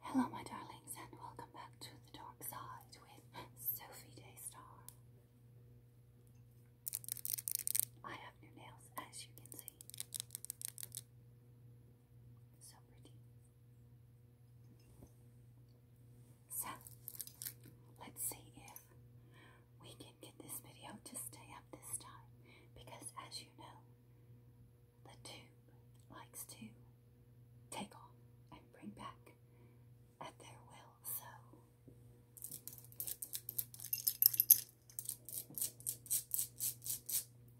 Hello, my darlings, and welcome back to The Dark Side with Sophie Daystar. I have new nails, as you can see. So pretty. So, let's see if we can get this video to stay up this time because, as you know, the tube likes to take on and bring back at their will, so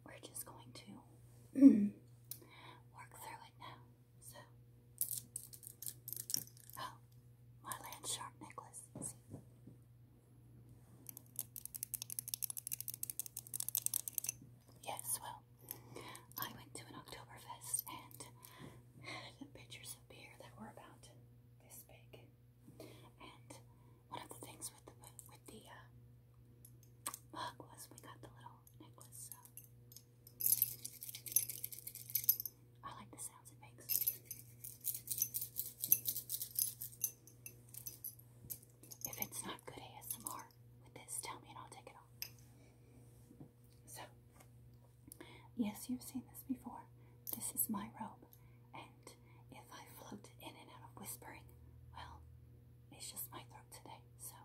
we're just going to work through it now. oh, my land shark necklace. Yes, well, I went to an Oktoberfest and had pitchers of beer that were about this big. And one of the things with the with the uh, mug was we got the little necklace. So. I like the sounds it makes. If it's not good ASMR with this, tell me and I'll take it off. So, yes, you've seen this before. This is my robe, and if I float in and out of whispering, well, it's just my throat today, so.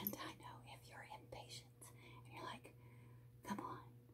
And I know if you're impatient and you're like, come on,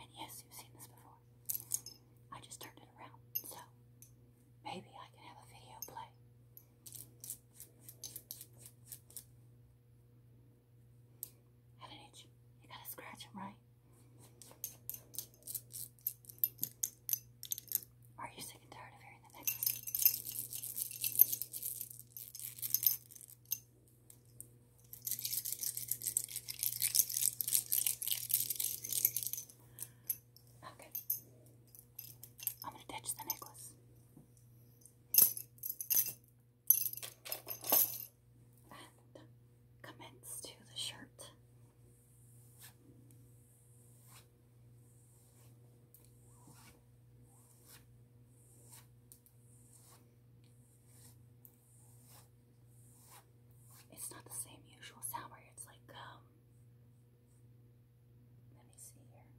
And yes, you've seen this before. I just turned it around, so maybe I can have a video play. Had an itch. You gotta scratch them, right? Are you sick and tired of hearing the necklace? Okay. I'm going to attach the necklace. commence to the shirt. It's not the same usual sour. It's like um, let me see here.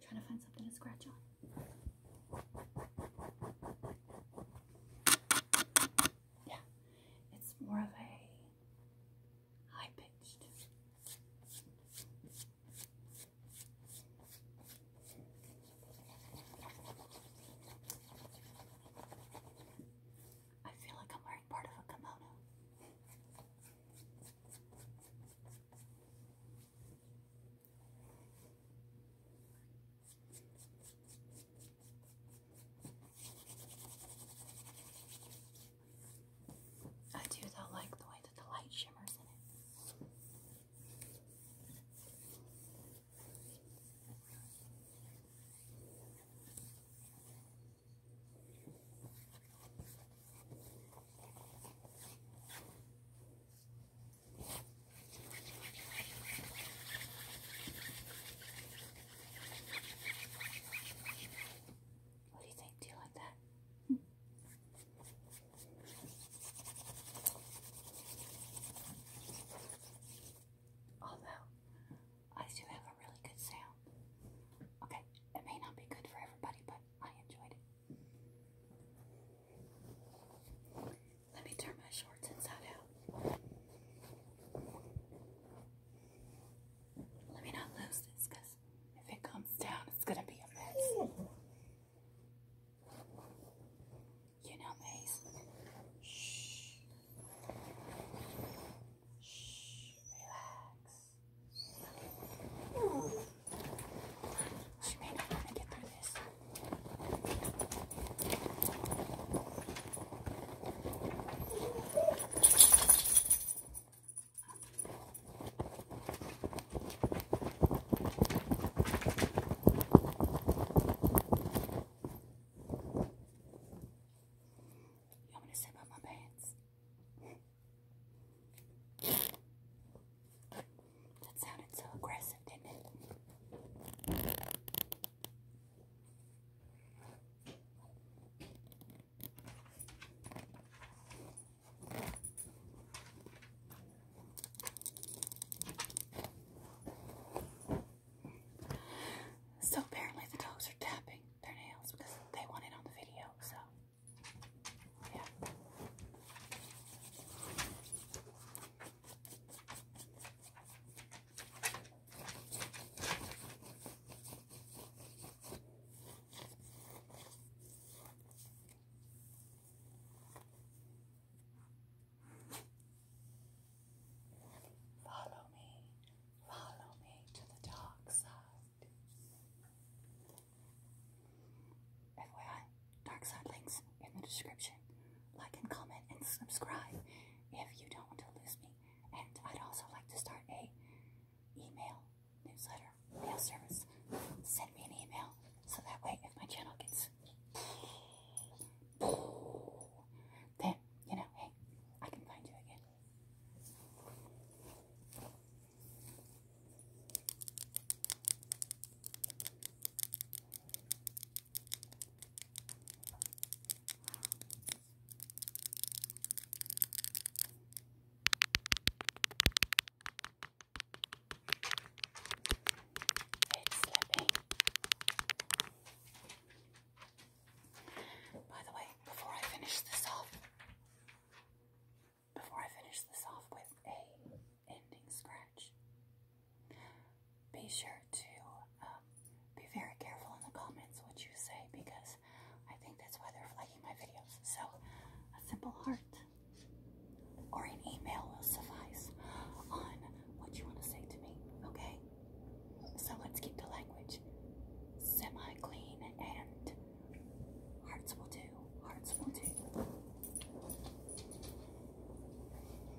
trying to find something to scratch on. Yeah, it's more of a high pitched. I feel like I'm wearing part of a kimono. I do though like the way that the light shimmers in it. What do you think? Do you like that? Although, I do have a really good sound. Okay, it may not be good for everybody, but I enjoyed it. Let me turn my shorts inside out. Let me not lose this because if it comes down, it's gonna be a mess. You know, Maze. Shh. Shh. Relax. She may not to get through this. You want me to zip up my pants? That sounded so aggressive, didn't it? So apparently the dogs are tapping their nails because they want it on the video, so yeah. Follow me, follow me to the dark side. FYI, dark side links in the description. Like and comment and subscribe if you don't want to lose me. And I'd also like to start a email newsletter, mail service. Send me an email so that way if my channel gets then, you know, hey, I can find you again. It's slipping. By the way, before I finish this off, before I finish this off with a ending scratch, be sure to um, be very careful in the comments what you say because I think that's why they're flagging my videos. So, a simple heart or an email will suffice on what you want to say to me, okay? So, let's keep the language semi clean and hearts will do. Hearts will do.